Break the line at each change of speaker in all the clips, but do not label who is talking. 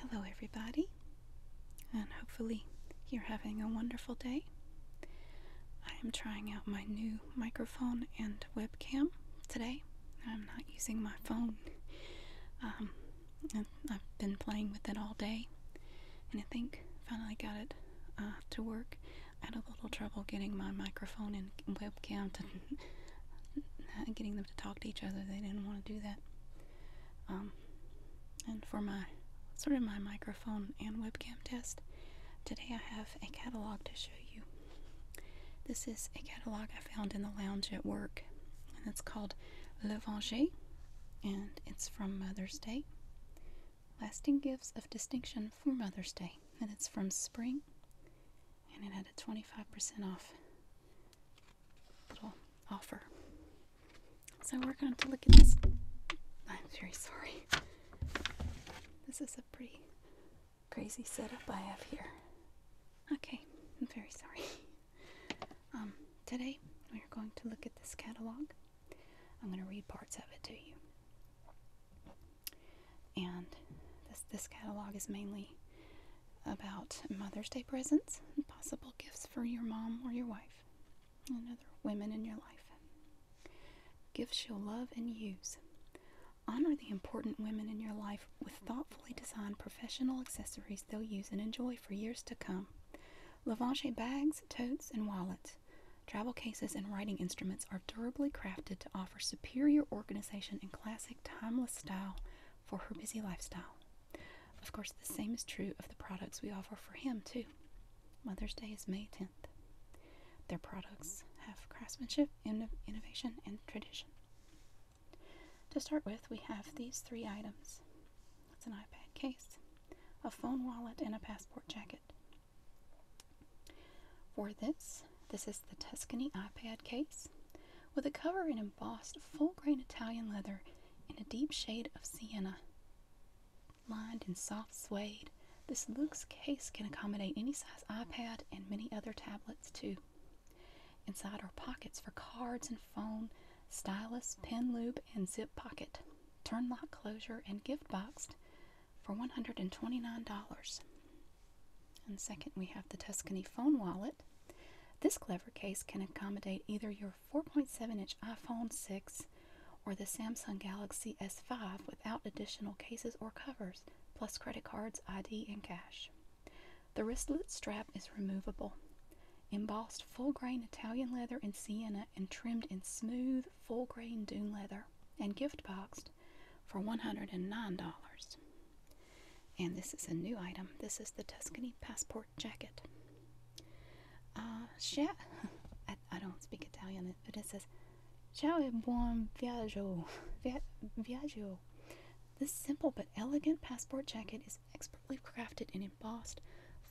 Hello, everybody, and hopefully you're having a wonderful day. I am trying out my new microphone and webcam today. I'm not using my phone. Um, I've been playing with it all day, and I think finally got it uh, to work. I had a little trouble getting my microphone and webcam and getting the to talk to each other. They didn't want to do that. Um, and for my sort of my microphone and webcam test, today I have a catalog to show you. This is a catalog I found in the lounge at work, and it's called Le Venger, and it's from Mother's Day. Lasting Gifts of Distinction for Mother's Day, and it's from Spring and it had a 25% off little offer. So we're going to look at this. I'm very sorry. This is a pretty crazy setup I have here. Okay, I'm very sorry. Um, today we're going to look at this catalog. I'm going to read parts of it to you. And this, this catalog is mainly about Mother's Day presents possible gifts for your mom or your wife and other women in your life. Gifts you'll love and use. Honor the important women in your life with thoughtfully designed professional accessories they'll use and enjoy for years to come. Lavanche bags, totes, and wallets, travel cases, and writing instruments are are durably crafted to offer superior organization and classic, timeless style for her busy lifestyle. Of course, the same is true of the products we offer for him, too. Mother's Day is May 10th. Their products have craftsmanship, innovation, and tradition. To start with, we have these three items it's an iPad case, a phone wallet, and a passport jacket. For this, this is the Tuscany iPad case with a cover in embossed full grain Italian leather in a deep shade of sienna. Lined in soft suede, this luxe case can accommodate any size iPad and many other tablets too. Inside are pockets for cards and phone, stylus, pen loop, and zip pocket, turn lock closure, and gift boxed for $129. And second, we have the Tuscany phone wallet. This clever case can accommodate either your 4.7 inch iPhone 6 or the Samsung Galaxy S5 without additional cases or covers, plus credit cards, ID, and cash. The wristlet strap is removable. Embossed full grain Italian leather in sienna and trimmed in smooth full grain dune leather and gift boxed for $109. And this is a new item. This is the Tuscany Passport Jacket. Uh, I, I don't speak Italian, but it says, Ciao e buon viaggio. Via, viaggio. This simple but elegant passport jacket is expertly crafted in embossed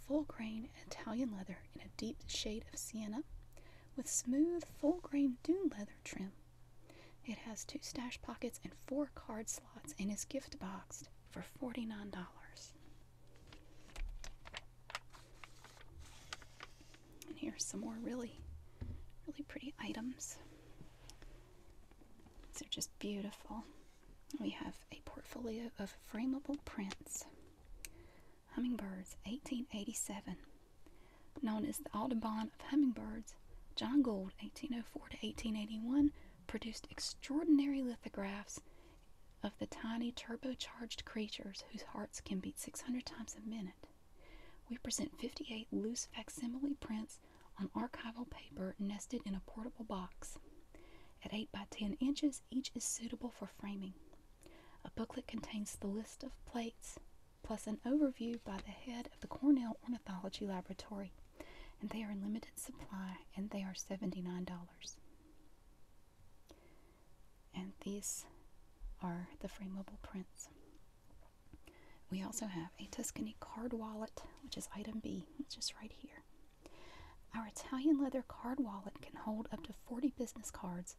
full grain Italian leather in a deep shade of sienna with smooth full grain dune leather trim it has two stash pockets and four card slots and is gift boxed for $49. And here's some more really, really pretty items. they are just beautiful. We have a portfolio of frameable prints. Hummingbirds, 1887. Known as the Audubon of Hummingbirds, John Gould, 1804 1881, produced extraordinary lithographs of the tiny turbocharged creatures whose hearts can beat 600 times a minute. We present 58 loose facsimile prints on archival paper nested in a portable box. At 8 by 10 inches, each is suitable for framing. A booklet contains the list of plates, plus an overview by the head of the Cornell Ornithology Laboratory. And they are in limited supply and they are $79. And these are the frameable prints. We also have a Tuscany card wallet, which is item B, just right here. Our Italian leather card wallet can hold up to 40 business cards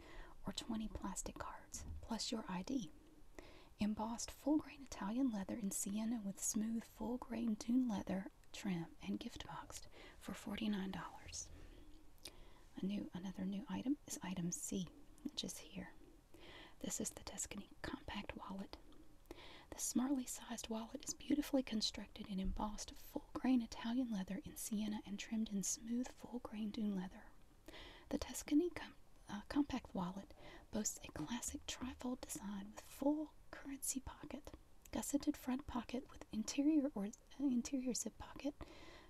or 20 plastic cards, plus your ID. Embossed full grain Italian leather in sienna with smooth full grain dune leather trim and gift boxed for $49. A new another new item is item C, which is here. This is the Tuscany compact wallet. The smartly sized wallet is beautifully constructed in embossed full grain Italian leather in sienna and trimmed in smooth full grain dune leather. The Tuscany uh, compact wallet boasts a classic trifold design with full currency pocket, gusseted front pocket with interior or uh, interior zip pocket,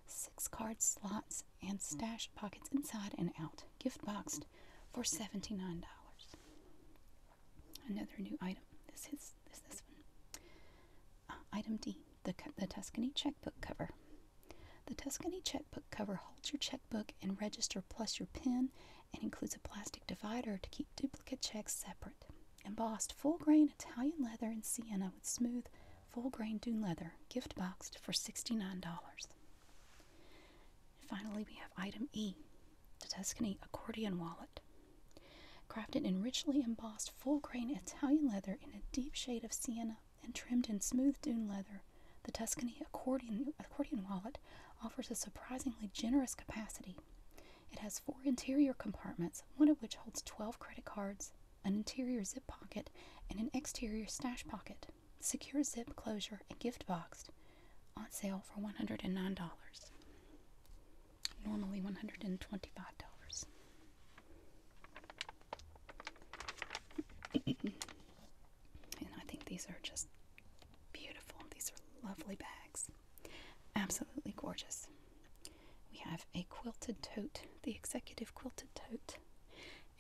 six card slots, and stash pockets inside and out. Gift boxed for $79. Another new item. This is this, one. Uh, item D, the, the Tuscany checkbook cover. The Tuscany checkbook cover holds your checkbook and register plus your PIN and includes a plastic divider to keep duplicate checks separate. Embossed full grain Italian leather in sienna with smooth full grain dune leather, gift boxed for $69. Finally, we have item E, the Tuscany accordion wallet. Crafted in richly embossed full grain Italian leather in a deep shade of sienna and trimmed in smooth dune leather, the Tuscany accordion, accordion wallet offers a surprisingly generous capacity. It has four interior compartments, one of which holds 12 credit cards, an interior zip pocket, and an exterior stash pocket, secure zip closure, and gift box. On sale for $109. Normally $125 and I think these are just beautiful. These are lovely bags. Absolutely gorgeous. We have a quilted tote, the executive quilted tote,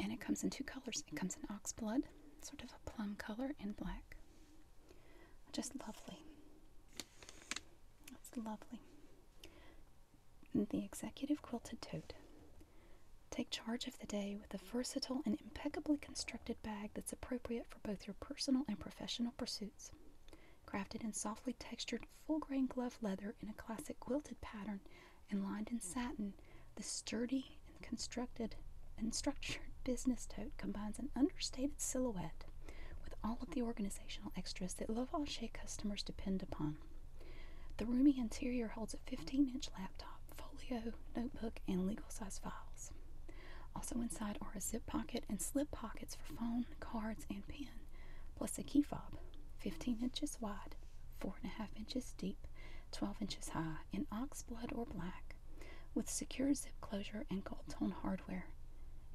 and it comes in two colors. It comes in oxblood, sort of a plum color, and black. Just lovely. That's lovely the executive quilted tote. Take charge of the day with a versatile and impeccably constructed bag that's appropriate for both your personal and professional pursuits. Crafted in softly textured full grain glove leather in a classic quilted pattern and lined in satin, the sturdy and constructed and structured business tote combines an understated silhouette with all of the organizational extras that Love Lavache customers depend upon. The roomy interior holds a 15 inch laptop, folio, notebook, and legal size files. Also inside are a zip pocket and slip pockets for phone, cards, and pen, plus a key fob, 15 inches wide, 4.5 inches deep, 12 inches high, in ox blood or black, with secure zip closure and gold tone hardware.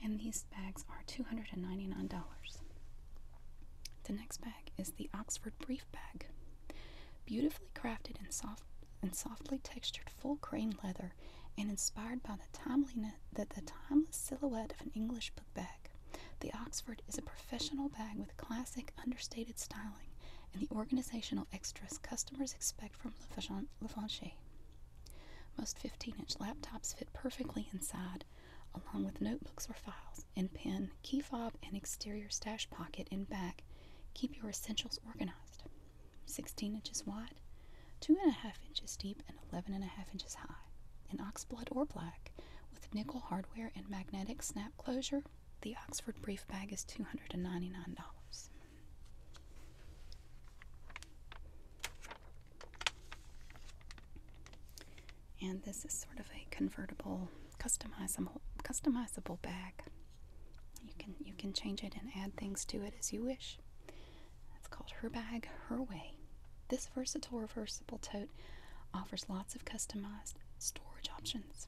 And these bags are $299. The next bag is the Oxford Brief Bag. Beautifully crafted in soft and softly textured full grain leather and inspired by the timeliness that the timeless silhouette of an English book bag. The Oxford is a professional bag with classic understated styling and the organizational extras customers expect from Levanche. Most 15 inch laptops fit perfectly inside, along with notebooks or files, and pen, key fob, and exterior stash pocket in back. Keep your essentials organized. 16 inches wide, 2.5 inches deep, and 11.5 inches high. In oxblood or black, with nickel hardware and magnetic snap closure, the Oxford Brief Bag is $299. And this is sort of a convertible, customizable, customizable bag. You can you can change it and add things to it as you wish. It's called Her Bag, Her Way. This versatile reversible tote offers lots of customized storage options,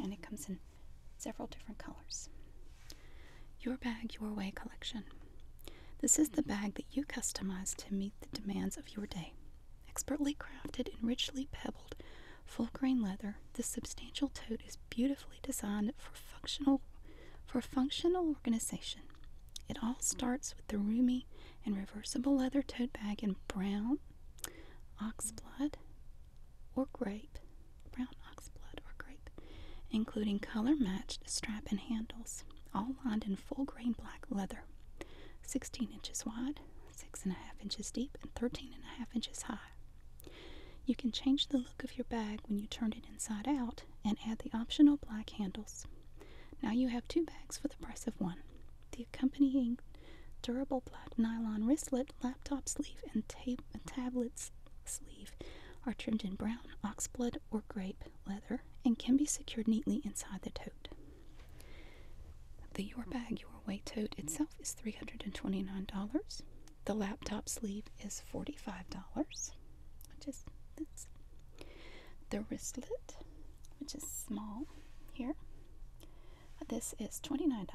and it comes in several different colors. Your Bag, Your Way collection this is the bag that you customize to meet the demands of your day. Expertly crafted in richly pebbled full grain leather, this substantial tote is beautifully designed for functional for functional organization. It all starts with the roomy and reversible leather tote bag in brown, oxblood, or grape, brown oxblood or grape, including color matched strap and handles all lined in full grain black leather, 16 inches wide, 6.5 inches deep, and 13.5 inches high. You can change the look of your bag when you turn it inside out and add the optional black handles. Now you have two bags for the price of one. The accompanying durable black nylon wristlet, laptop sleeve, and tape, tablet sleeve are trimmed in brown, oxblood, or grape leather and can be secured neatly inside the tote. The Your Bag Your Way tote itself is $329. The laptop sleeve is $45, which is The wristlet, which is small here, this is $29.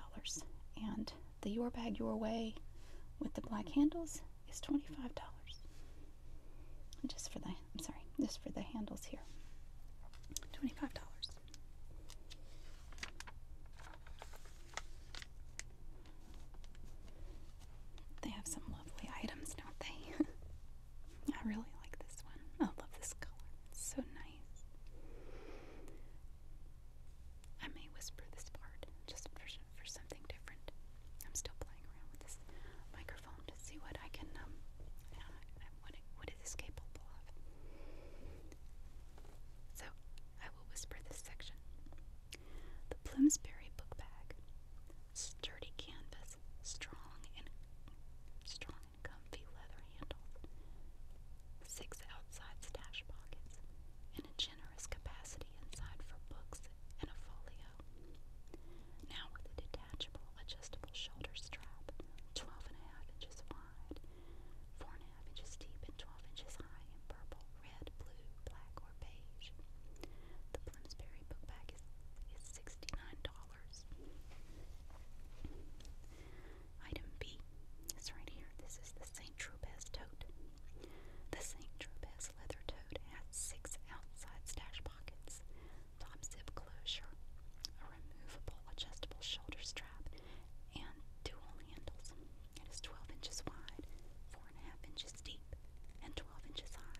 And the Your Bag Your Way with the black handles is $25 just for the I'm sorry, just for the handles here. $25. They have some lovely items, don't they? I really like this one. I love this color. It's so nice. I may whisper this part just for something different. I'm still playing around with this microphone to see what I can, um, uh, what, what it is capable of. So, I will whisper this section. The Bloomsbury book bag, sturdy canvas, strong and strong and comfy leather handle, six outside stash pockets, and an generous capacity inside for books and a folio. Now with a detachable, adjustable shoulder strap, 12 inches wide, 4 inches deep, and 12 inches high in purple, red, blue, black, or beige. The Bloomsbury book bag is, is $69. Item B is right here. This is the St. Tropez tote. The St. Tropez leather Toad has six outside stash pockets, top zip closure, a removable adjustable shoulder strap, and dual handles. It is 12 inches wide, 4.5 inches deep, and 12 inches high.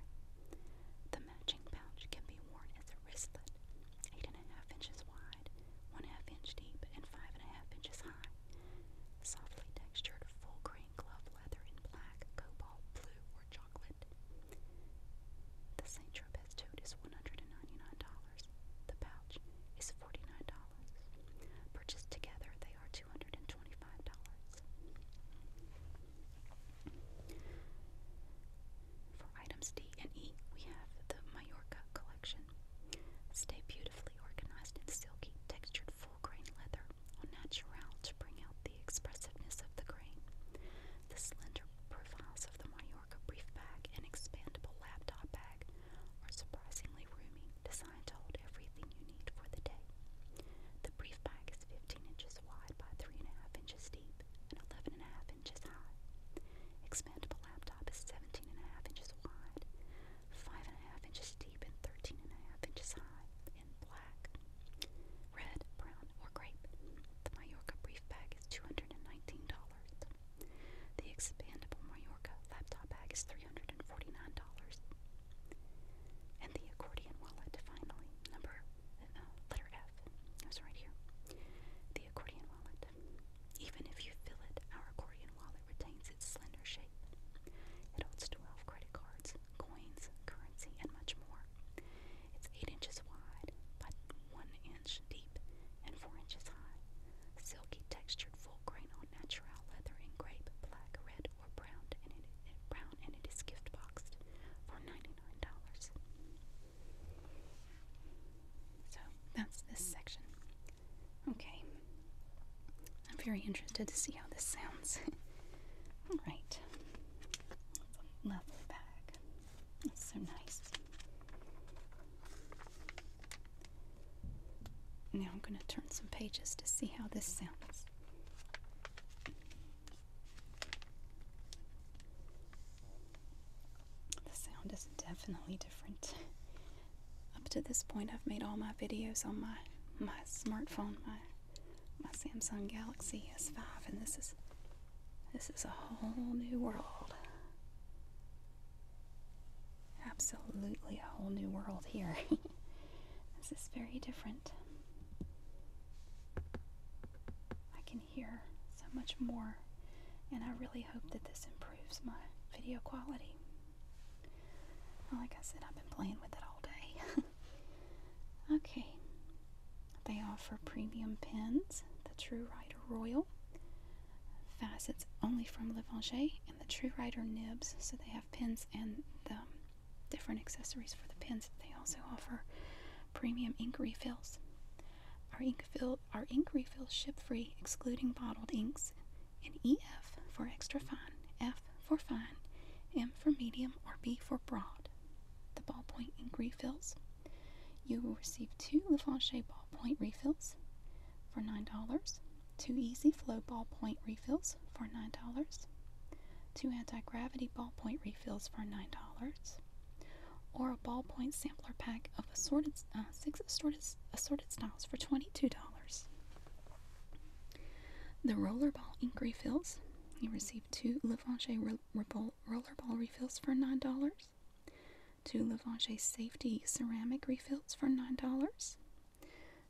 The matching pouch can be worn as a wristlet, 8.5 inches wide, 1.5 inch deep, and 5.5 inches high. Softly textured full grip glove leather in black, cobalt blue, or chocolate. The St. Tropez tote is $199. The pouch is $49. Purchased together, they are $225. For items D and E, we have the Majorca collection. Stay beautifully organized in silky textured full grain leather au naturel to bring out the expressiveness of the grain. The slender profiles of the Mallorca brief bag and expandable laptop bag are surprisingly roomy, designed to hold everything you need for the day. The brief bag is 15 inches wide by 3.5 inches deep and 11.5 inches high. Expandable laptop is 17.5 inches wide five and a half inches deep and 13 inches high in black, red, brown, or grape. The Mallorca brief bag is $219. The expandable Mallorca laptop bag is $349. And the accordion wallet, finally, number uh, letter F. That's right here. The accordion wallet. Even if you fill it, our accordion wallet retains its slender shape. It holds 12 credit cards, coins, currency, and much more. It's 8 inches wide by 1 inch deep and 4 inches high. Silky textured full grain on natural leather in grape, black, red, or brown, and brown, and it is gift boxed for $99. So that's this section. Okay, I'm very interested to see how this sounds. Alright. Lovely bag. That's so nice. Now I'm going to turn some pages to see how this sounds. The sound is definitely different. Up to this point, I've made all my videos on my my smartphone, my my Samsung Galaxy S5, and this is this is a whole new world. Absolutely a whole new world here. this is very different. I can hear so much more, and I really hope that this improves my video quality like I said, I've been playing with it all day. okay. They offer premium pens, the True Writer Royal, facets only from Le Levanger, and the True Writer nibs. So they have pens and the different accessories for the pens. They also offer premium ink refills. Our ink, fill, our ink refills ship free, excluding bottled inks and EF for extra fine, F for fine, M for medium, or B for broad. The ballpoint ink refills. You will receive two Lafayette ballpoint refills for $9, two Easy Flow ballpoint refills for $9, two anti gravity ballpoint refills for $9, or a ballpoint sampler pack of assorted uh, six assorted, assorted styles for $22. The rollerball ink refills. You receive two Levanche ro rollerball refills for $9. Two Levanche safety ceramic refills for $9.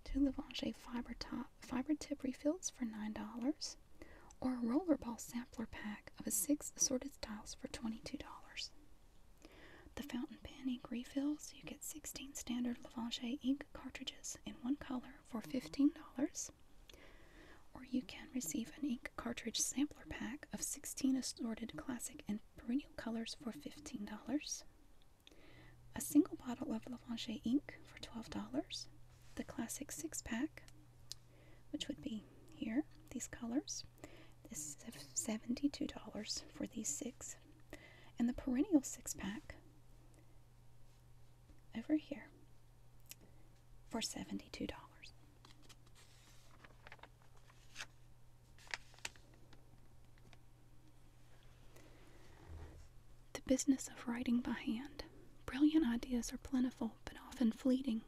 Two Levanche fiber, fiber tip refills for $9 or a rollerball sampler pack of a six assorted styles for $22. The fountain pen ink refills, you get 16 standard Lavanger ink cartridges in one color for $15. Or you can receive an ink cartridge sampler pack of 16 assorted classic and perennial colors for $15. A single bottle of Lavanger ink for $12. The classic six pack, which would be here, these colors. This is $72 for these six. And the perennial six pack over here for $72. The business of writing by hand. Brilliant ideas are plentiful but often fleeting.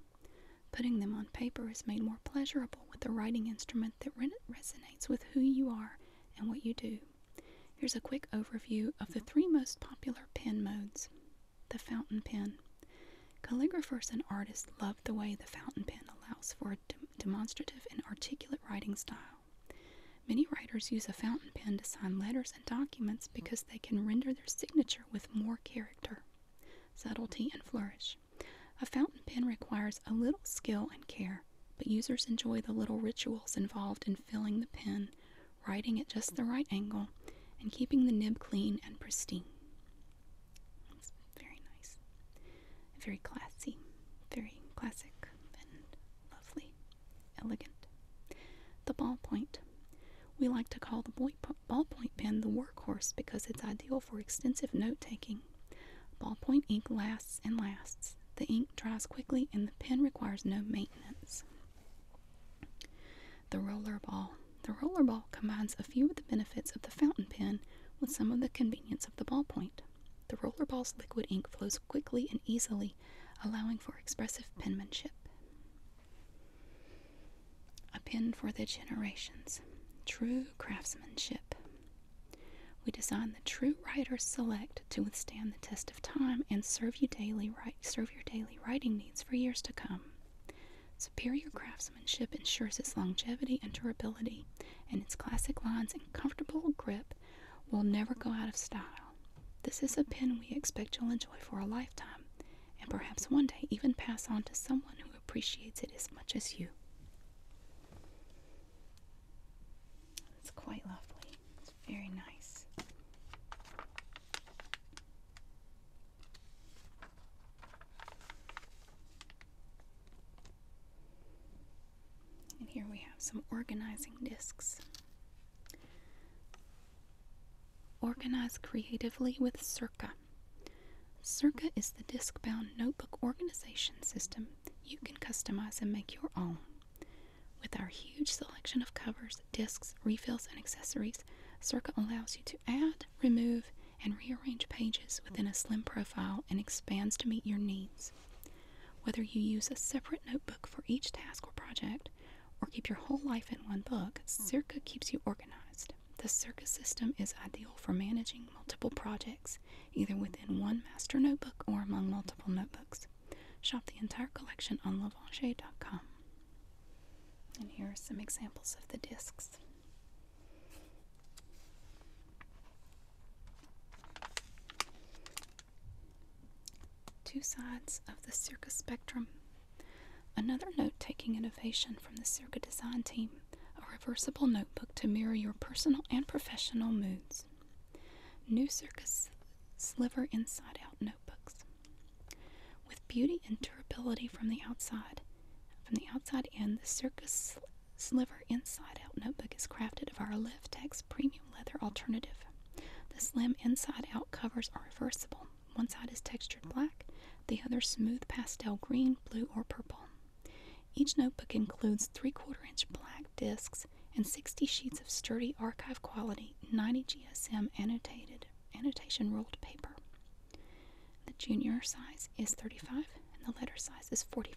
Putting them on paper is made more pleasurable with a writing instrument that resonates with who you are and what you do. Here's a quick overview of the three most popular pen modes. The fountain pen. Calligraphers and artists love the way the fountain pen allows for a demonstrative and articulate writing style. Many writers use a fountain pen to sign letters and documents because they can render their signature with more character, subtlety, and flourish. A fountain pen requires a little skill and care, but users enjoy the little rituals involved in filling the pen, writing at just the right angle, and keeping the nib clean and pristine. very nice, very classy, very classic, and lovely, elegant. The ballpoint. We like to call the ballpoint pen the workhorse because it's ideal for extensive note taking Ballpoint ink lasts and lasts. The ink dries quickly and the pen requires no maintenance. The rollerball. The rollerball combines a few of the benefits of the fountain pen with some of the convenience of the ballpoint. The rollerball's liquid ink flows quickly and easily, allowing for expressive penmanship a pen for the generations. True craftsmanship. We design the true writers select to withstand the test of time and serve you daily serve your daily writing needs for years to come. Superior craftsmanship ensures its longevity and durability, and its classic lines and comfortable grip will never go out of style. This is a pen we expect you'll enjoy for a lifetime, and perhaps one day even pass on to someone who appreciates it as much as you. It's quite lovely. It's very nice. And here we have some organizing discs. Organize creatively with Circa. Circa is the disk bound notebook organization system you can customize and make your own. With our huge selection of covers, discs, refills, and accessories, Circa allows you to add, remove, and rearrange pages within a slim profile and expands to meet your needs. Whether you use a separate notebook for each task or project, or keep your whole life in one book, Circa keeps you organized. The circus system is ideal for managing multiple projects, either within one master notebook or among multiple notebooks. Shop the entire collection on Lavanger.com. And here are some examples of the discs. Two sides of the circus spectrum. Another note taking innovation from the Circus design team a reversible notebook to mirror your personal and professional moods. New Circus Sliver Inside Out Notebooks. With beauty and durability from the outside, from the outside in, the Circus Sliver Inside Out Notebook is crafted of our Liftex premium leather alternative. The slim inside out covers are reversible, one side is textured black, the other smooth pastel green, blue, or purple. Each notebook includes 3 quarter inch black discs and 60 sheets of sturdy archive quality 90 GSM annotated annotation ruled paper. The junior size is 35 and the letter size is $45.